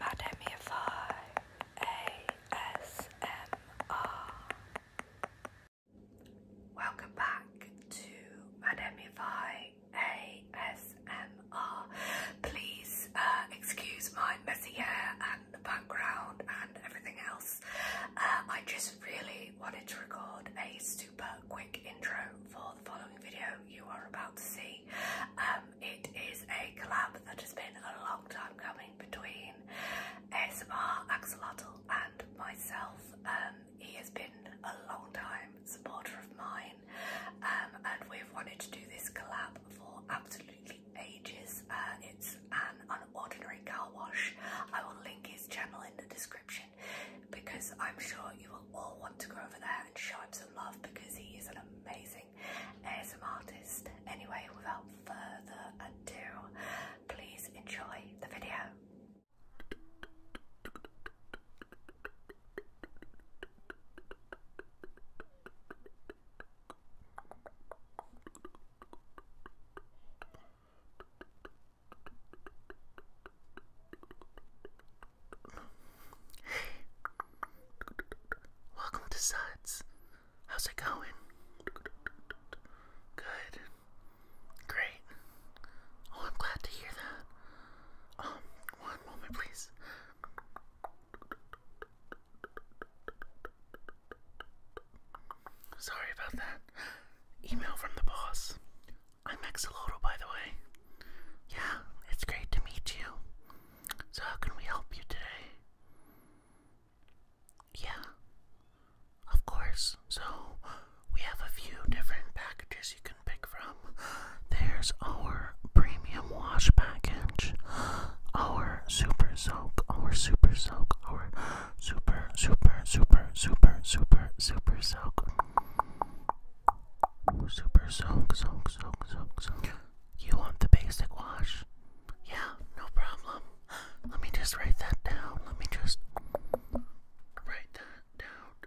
Madamify ASMR. Welcome back to Madamify ASMR. Please uh, excuse my messy hair and the background and everything else. Uh, I just really wanted to record a super quick intro for the following video you are about to see. Um, it is a collab that has been a long time coming between ASMR Axolotl and myself. Um, he has been a long time supporter of mine um, and we've wanted to do this collab for absolutely ages. Uh, it's an unordinary car wash. I will link his channel in the description because I'm sure you will all want to go over there and show him some love because he is an amazing as an artist. Anyway, without further ado, please enjoy the video. Welcome to Suds. How's it going? Good. Great. Oh, I'm glad to hear that. Um, one moment, please. Sorry about that. Email from the boss. I'm Exoloto, by the way. Yeah, it's great to meet you. So, how can we help you today? Yeah, of course. So, we have a few different packages you can pick from. There's our premium wash package, our super soak, our super soak, our super, super, super, super, super, super soak. Super soak, soak, soak, soak, soak. You want the basic wash? Yeah, no problem. Let me just write that down. Let me just write that down.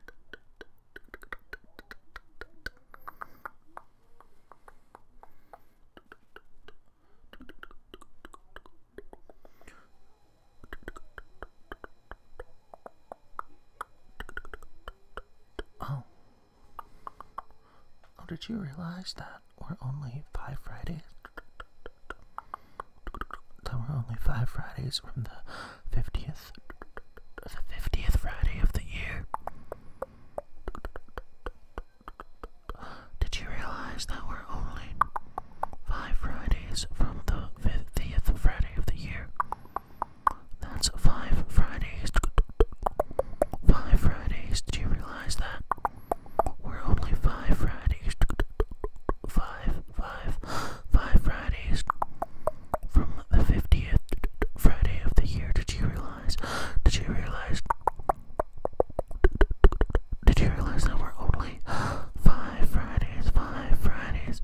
Oh, Oh, did you realize that we're only five Fridays? from the 50th, the 50th Friday of the year. Did you realize that we're only five Fridays from the 50th Friday of the year? That's five Fridays. Five Fridays. Did you realize that? We're only five Fridays. Five, five, five Fridays from the 50th Friday of the year. Did you realize? Did you realize? Did you realize that we're only five Fridays, five Fridays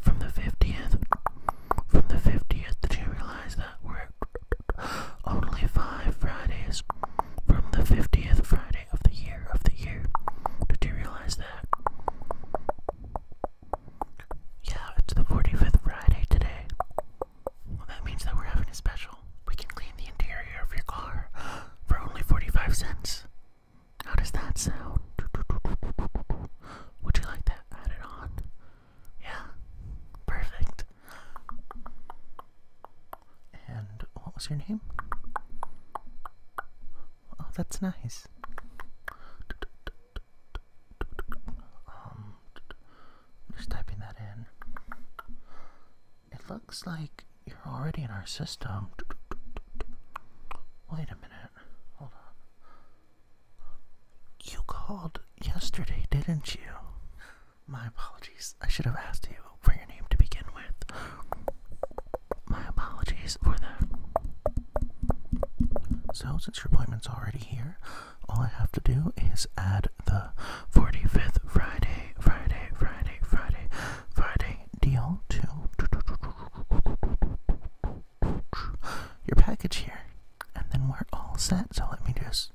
from the 50th? From the 50th, did you realize that we're only five Fridays from the 50th Friday of the year of the year. Did you realize that? Yeah, it's the 45th Friday today. Well, that means that we're having a special. We can clean the interior of your car for only 45 cents. How does that sound? Would you like that added on? Yeah, perfect. And what was your name? Oh, that's nice. Um, just typing that in. It looks like you're already in our system. Wait a minute. Hold on. You called yesterday, didn't you? My apologies. I should have asked you for your name to begin with. My apologies for that. So, since your appointment's already here, all I have to do is add the 45th Friday, Friday, Friday, Friday, Friday deal to your package here. And then we're all set. So let me just.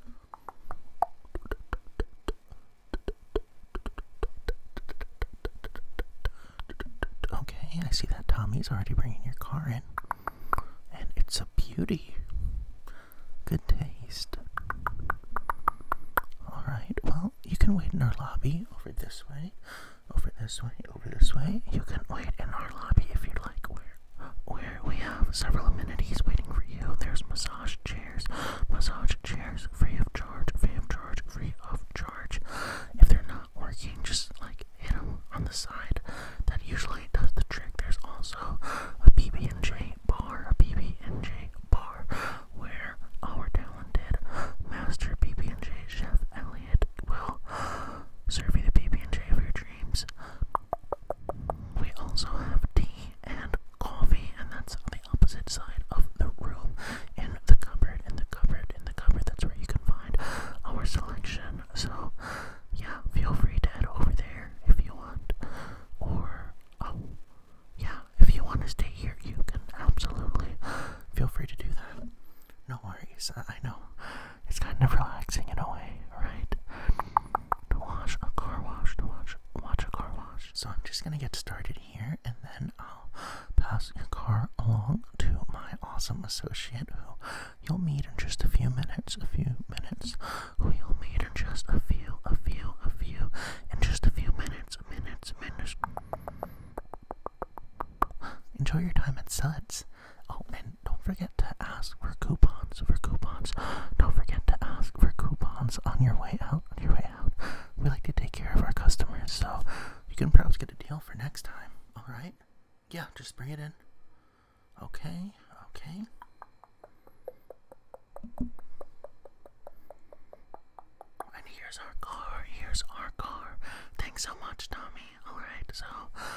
Okay, I see that Tommy's already bringing your car in. And it's a beauty. Good taste. Alright, well, you can wait in our lobby over this way, over this way, over this way. You can wait in our lobby if you'd like. Where? where we have several amenities waiting for you. There's massage chairs, massage chairs, free of charge, free of charge, free of charge. If they're not working, just like hit them on the side. That usually does the trick. There's also a PB&J bar, a PB&J bar, where our talented master PB&J chef Elliot will serve you the PB&J of your dreams. We also have tea and coffee, and that's on the opposite side of the room in the cupboard, in the cupboard, in the cupboard. That's where you can find our selection. So, yeah, feel free to head over there if you want. Or, oh, yeah, if you want to stay here, you can absolutely feel free to do that. No worries, I, I know it's kind of relaxing in a way, right? To wash a car wash, to watch watch a car wash. So I'm just gonna get started here, and then I'll pass your car along to my awesome associate, who you'll meet in just a few minutes, a few minutes, who you'll meet in just a few, a few, a few, in just a few minutes, minutes, minutes. Enjoy your time at Suds. Oh, and don't forget to ask for coupons, for coupons. Don't forget to ask for coupons on your way out, on your way out. We like to take care of our customers, so you can perhaps get a deal for next time, alright? Yeah, just bring it in. Okay, okay. And here's our car, here's our car. Thanks so much, Tommy. Alright, so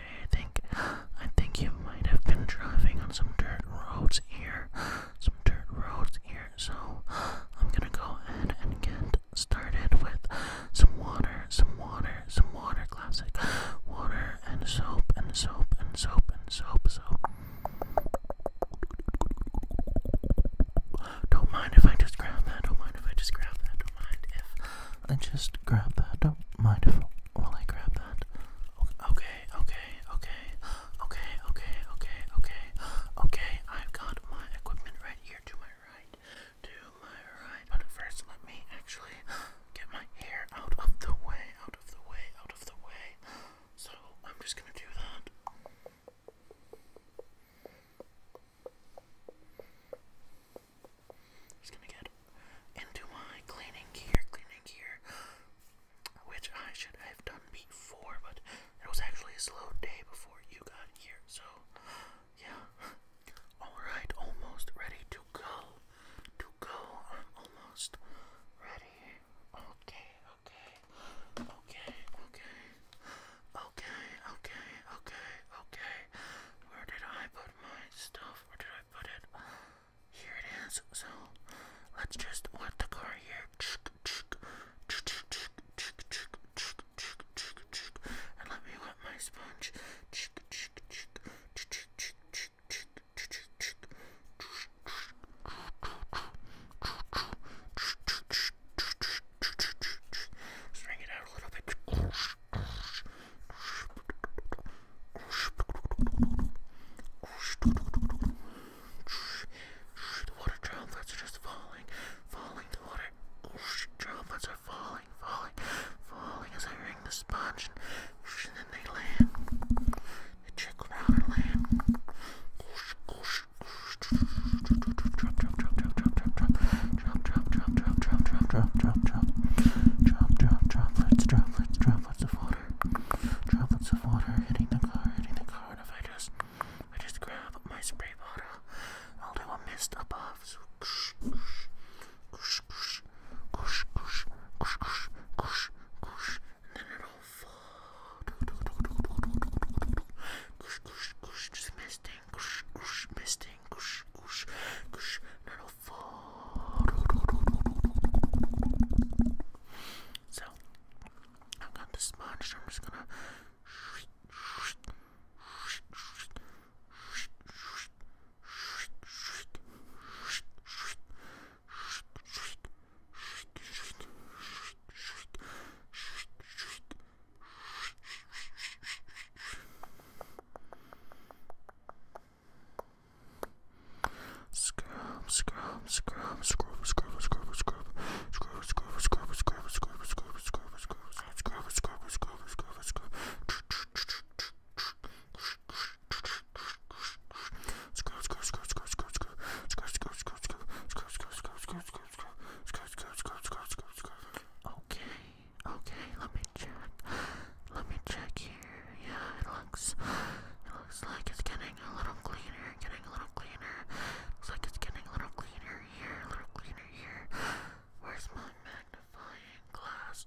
okay, I think I think you might have been driving on some dirt roads here. Some dirt roads here. So I'm gonna go ahead and get started with some water, some water, some water classic. Water and soap and soap and soap and soap soap. Don't mind if I just grab that, don't mind if I just grab that, don't mind if I just grab that, don't mind if Will I grab that? Okay, okay, okay, okay, okay, okay, okay, okay. I've got my equipment right here to my right, to my right. But first, let me actually get my hair out of the way, out of the way, out of the way. So I'm just gonna do that. Okay, just gonna get into my cleaning gear, cleaning gear, which I should have done before, but it was actually a slow day before you got here, so yeah. Alright, almost ready to go. To go, I'm almost ready. Okay, okay, okay, okay, okay, okay, okay, okay. Where did I put my stuff? myself. Where did I put it? Here it is. So let's just want the car here. And let me wet my sponge. String it out a little bit. The water droplets are just falling, falling. The water droplets are falling, falling, falling as I wring the sponge, and then they land. They trickle down and land. Drop, drop, drop, drop, drop, drop, drop, drop, drop, drop drop, drop, drop, drop, drop, drop, drop, drop, drop, drop, drop, droplets, droplets, droplets of water, droplets of water hitting the car, hitting the car. And if I just, I just grab my spray bottle, I'll do a mist above. So, kush, kush, kush, kush, kush, kush, kush, kush, kush, kush, and then it'll fall. Kush, kush, kush, just misting, kush, kush, misting, kush, kush, kush. Not beautiful. So, I got this sponge. I'm just gonna. Scrub, scrub, scrub, scrub, scrub, scrub, scrub, scrub, scrub, scrub, scrub, scrub, scrub, scrub, scrub, scrub, scrub, scrub, scrub. Okay, Okay, let me check. Let me check here. Yeah, it looks it looks like it's getting a little cleaner, getting a little cleaner. Looks like it's getting a little cleaner here, a little cleaner here. Where's my magnifying glass?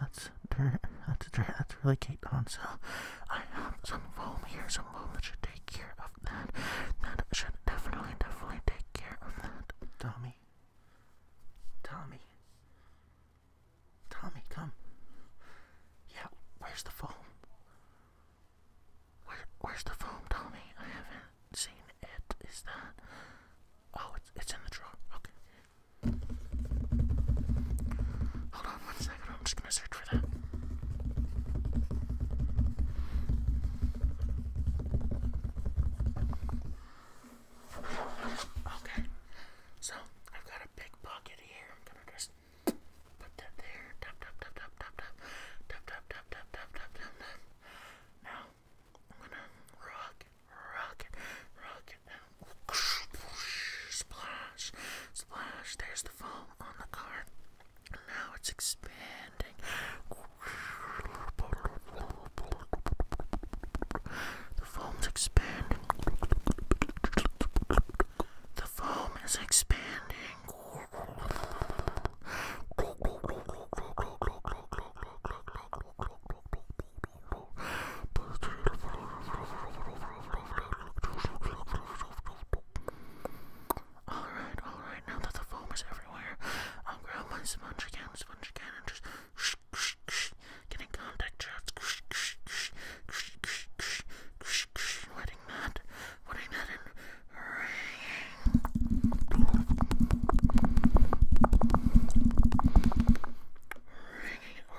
That's that's that's really Kate on. So I have some foam here, some foam that should take care of that. That should definitely, definitely take care of that. Tommy, Tommy, Tommy, come. Yeah, where's the foam? Where, where's the foam, Tommy? I haven't seen it. Is that? Oh, it's it's in the drawer. Okay. Hold on one second, I'm just gonna search for that. Okay, so I've got a big pocket here. I'm gonna just put that there. Tap, tap, tap, tap, tap, tap, tap, tap, tap, tap, tap, tap, tap. Now I'm gonna rock, rock, rock, Splash, splash, there's the foam on the card. Now it's expanding. The foam's expanding. The foam is expanding. Alright, alright, now that the foam is everywhere, I'll grab my sponge again, sponge again, and just sh sh sh get in contact, just sh sh sh sh sh sh sh wetting that, wetting that in. Ring. Ringing it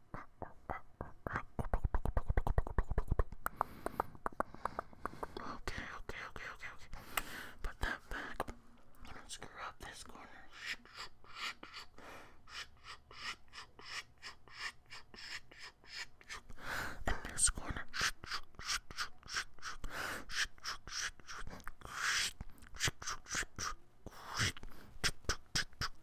Okay, okay, okay, okay, okay. Put that back. I'm gonna screw up this corner. And this corner.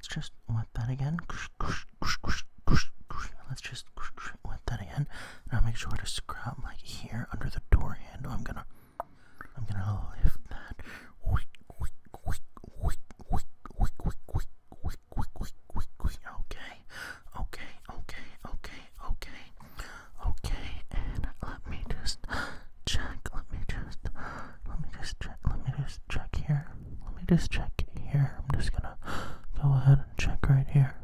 let's just wet that again. Let's just wet that again. Now make sure to scrub like here under the door handle. I'm gonna, I'm gonna lift that. Okay, okay, okay, okay, okay, okay, and let me just check. Let me just let me just check. Let me just check here. Let me just check here. I'm just gonna go ahead and check right here.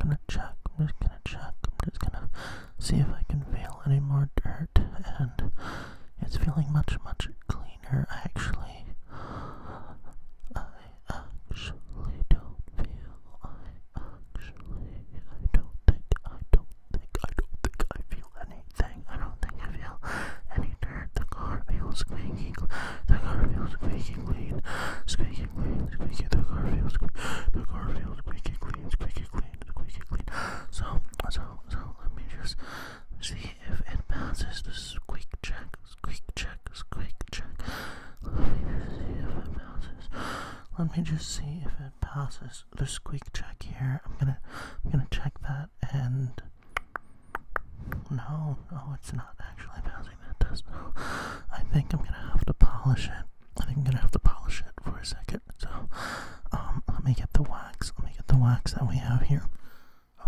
I'm gonna check. I'm just gonna check. I'm just gonna see if I can feel any more dirt, and it's feeling much much cleaner. actually, I actually don't feel. I actually, I don't think. I don't I don't think I feel anything. I don't think I feel any dirt. The car feels squeaky. The car feels squeaky clean. Squeaky clean. Squeaky. The car feels squeaky. The car feels squeaky clean. Squeaky clean. Squeaky clean. So so so let me just see if it passes the squeak check. Squeak check. Squeak check. Let me see if it passes. Let me just see if it passes the squeak check here. I'm gonna I'm gonna check that and no, oh, it's not actually bouncing. that does. I think I'm gonna have to polish it. I think I'm gonna have to polish it for a second. So, um, let me get the wax. Let me get the wax that we have here.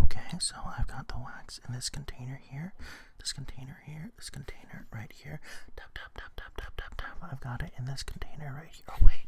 Okay, so I've got the wax in this container here, this container here, this container right here. Tap, tap, tap, tap, tap, tap, tap. I've got it in this container right here. Oh, wait.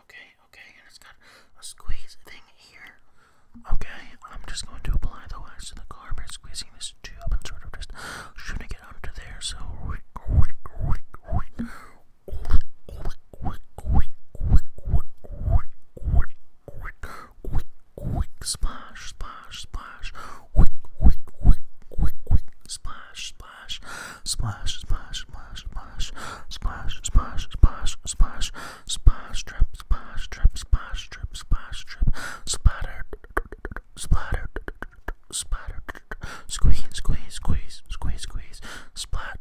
Okay, okay, and it's got a squeeze thing here. Okay, I'm just going to apply the wax to the car by squeezing this tube and sort of just shooting it under there. So, splash, splash, splash, splash, splash, splash, splash, splash splash, splash, splash, splash, splash, splash, splash, splash, drip, splash, drip, splash, drip, splash, drip, splatter, splatter, splatter, squeeze, squeeze, squeeze, squeeze, squeeze, splat.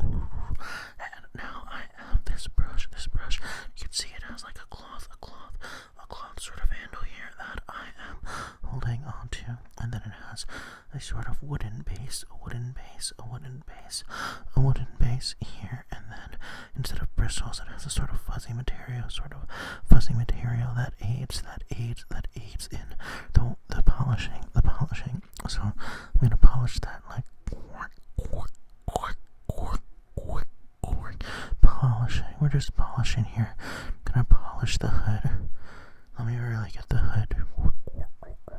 And now I have this brush, this brush. You can see it has like a cloth, a cloth, a cloth sort of handle here that I am holding on to, and then it has a sort of wooden base, a wooden base, a wooden base, a wooden base here, and then instead of bristles, it has a sort of fuzzy material, sort of fuzzy material that aids, that aids, that aids in the the polishing, the polishing. So I'm gonna polish that like polishing. We're just polishing here. I'm gonna polish the hood. Let me really get the hood.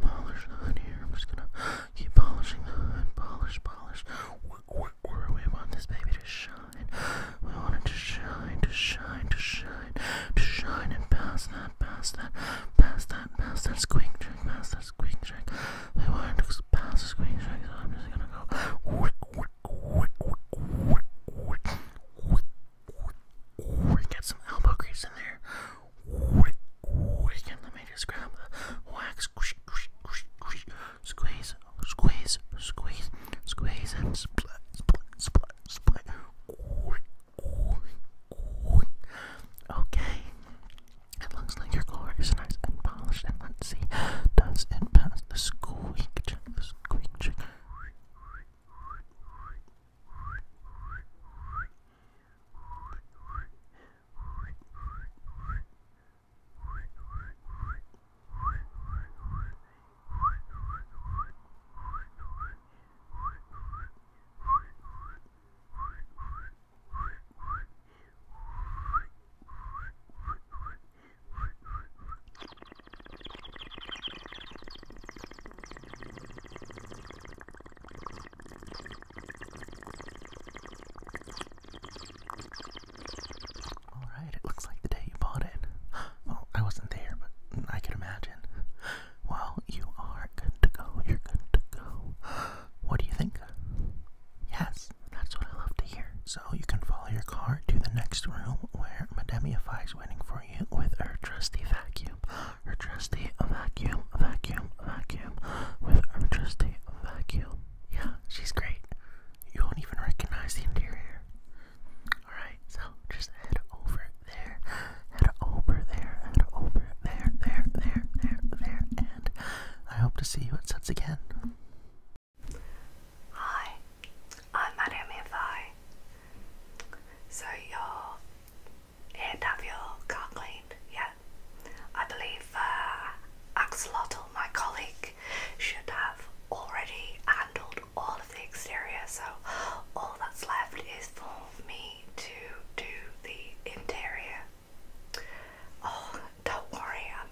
Polish the hood here. I'm just gonna keep polishing the hood. Polish, polish. We want this baby to shine. We want it to shine, to shine, to shine, to shine, and pass that, pass that, pass that, pass that squeak, pass that past the I want to pass the Queen shake. so I'm just gonna go. Wick, Get some elbow grease in there. And let me just grab the wax. squeeze, squeeze, squeeze, squeeze, and split, split, split, split. Okay. It looks like your core is nice and polished. And let's see, does it pass the squeak check? squeak check. All right, it looks like the day you bought it. Well, I wasn't there, but I could imagine. Well, you are good to go. You're good to go. What do you think? Yes, that's what I love to hear. So you can follow your car to the next room where Madame Yafai is waiting for you with her trusty vacuum. Her trusty vacuum, vacuum, vacuum, with her trusty vacuum. Yeah, she's great. You won't even recognize the interior. Alright, so just head over there head over there, head over there, there, there, there, there, and I hope to see you at sets again. Hi, I'm Madame MFI. So your ear your car cleaned, yeah? I believe uh, Axolotl, my colleague, should have already handled all of the exterior, so all that's left is for me to do the interior. Oh, don't worry. Um,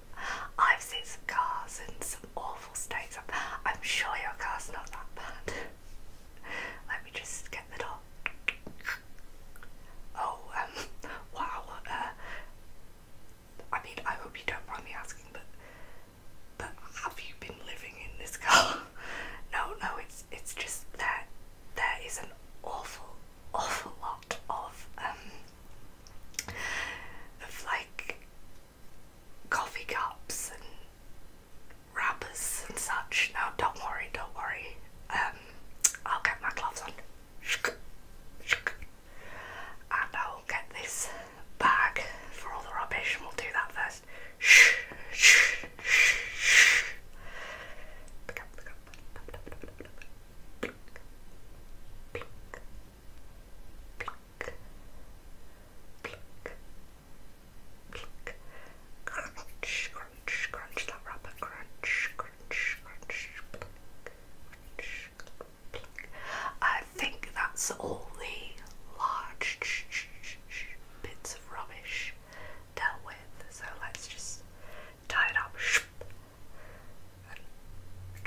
I've seen some cars in some awful states. I'm, sure your car's not that bad. Let me just get the door. Oh, um, wow. Uh, I mean, I hope you don't mind me asking, but but have you been living in this car? no, no, it's it's just that there is an awful awful lot of um, of like coffee cups and wrappers and such. No, don't worry, don't worry. Um, I'll get my gloves on. And I'll get this bag for all the rubbish and we'll do that first. I think that's all the large bits of rubbish dealt with. So let's just tie it up and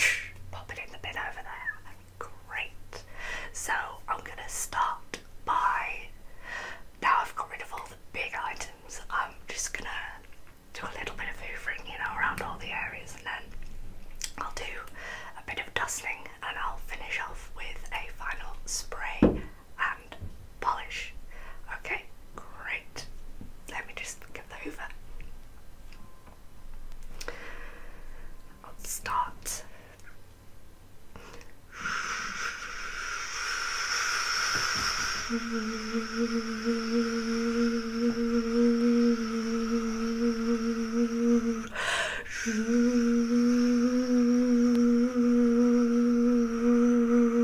pop it in the bin over there. Great. So I'm gonna start by now I've got rid of all the big items. I'm just gonna do a little bit of hoovering, you know, around all the areas and then I'll do a bit of dusting and I'll finish off with a final spray and polish. Okay, great. Let me just get the hoover. I'll start.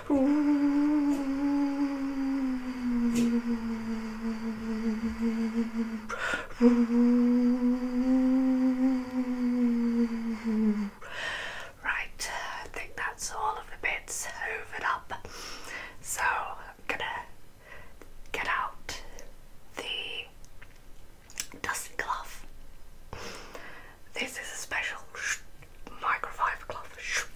Right, I think that's all of the bits hoovered up. So I'm gonna get out the dusty glove. This is a special microfiber cloth.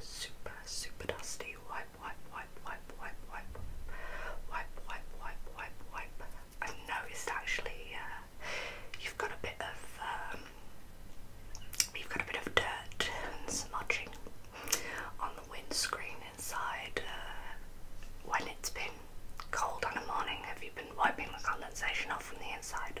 super, super, dusty. Wipe, wipe, wipe, wipe, wipe, wipe, wipe, wipe, wipe, wipe, wipe. I noticed actually uh, you've got a bit of um, you've got a bit of dirt and smudging on the windscreen inside uh, when it's been cold on a morning. Have you been wiping the condensation off from the inside?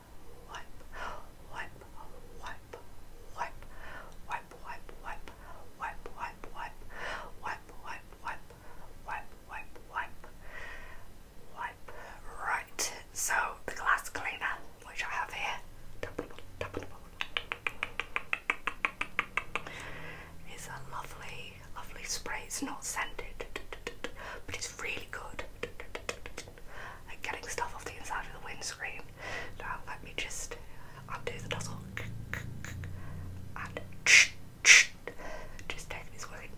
wipe, wipe, wipe, wipe, wipe, wipe, wipe, wipe, wipe, wipe, wipe, wipe, wipe, wipe, wipe, wipe, Right, so the glass cleaner, which I have here, is a lovely, lovely spray. It's not scented, but it's really good like getting stuff off the inside of the windscreen. Now let me just undo the nozzle and just take this way.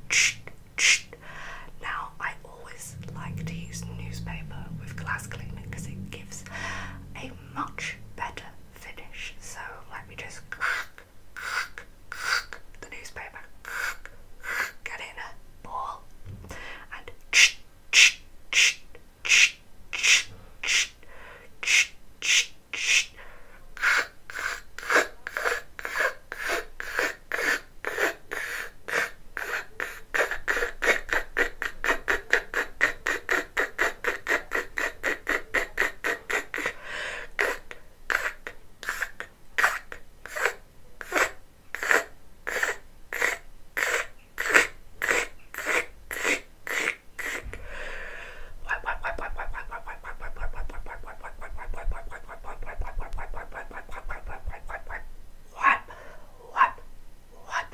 Now I always like to use newspaper with glass cleaner because it gives a much better finish. So let me just the newspaper get in. Boy, wall and what? What? What?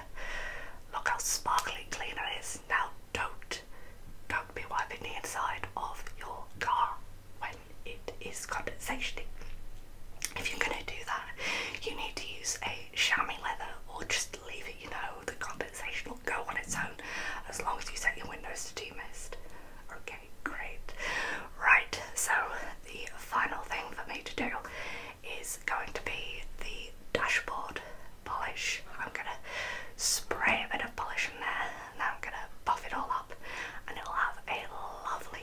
Look how sparkly clean it is. Now don't don't be wiping the inside of your car when it is condensation. If you're going to do that, you need to use a chamois leather or just leave it, you know, the condensation will go on its own as long as you set your windows to demist. Okay, great. Right, so the final thing for me to do is going to be the dashboard polish. I'm going to spray a bit of polish in there and then I'm going to buff it all up and it'll have a lovely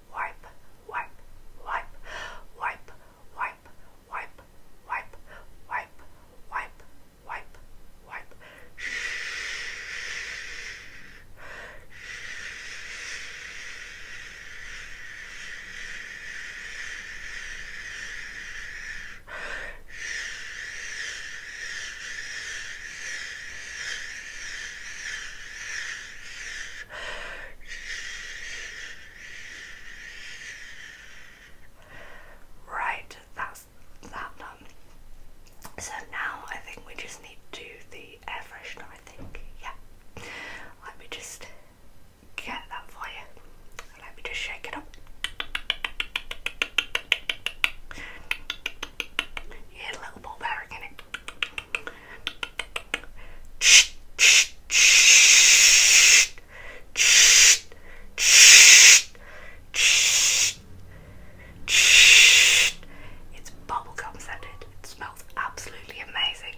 wipe, wipe, wipe, wipe, wipe, wipe, wipe, wipe, wipe, wipe, wipe. Shh. Right, that's that done. So now I think we just need to do the air freshener, I think. Yeah. Let me just get that for you. Let me just shake it up. You little ball it's bubblegum scented. It smells absolutely amazing.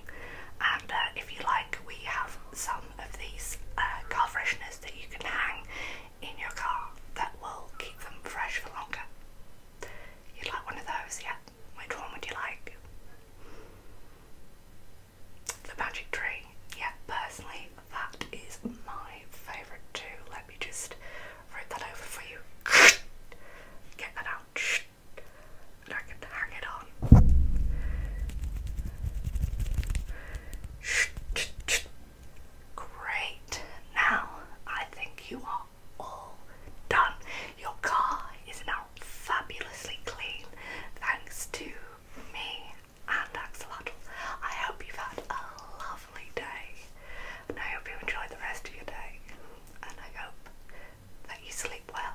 And uh, if you like, we have some of these uh, car fresheners that you can hang in your car that will keep them fresh for longer. You'd like one of those, yeah? Which one would you like? The magic tree. Yeah, personally, that is my favourite too. Let me just write that over for you. Get that out. And I can hang it on. Great. Now I think you are all done. Your car is now fabulously clean thanks to me and Axolotl. I hope you've had a lovely day and I hope you enjoy the rest of your day and I hope that you sleep well.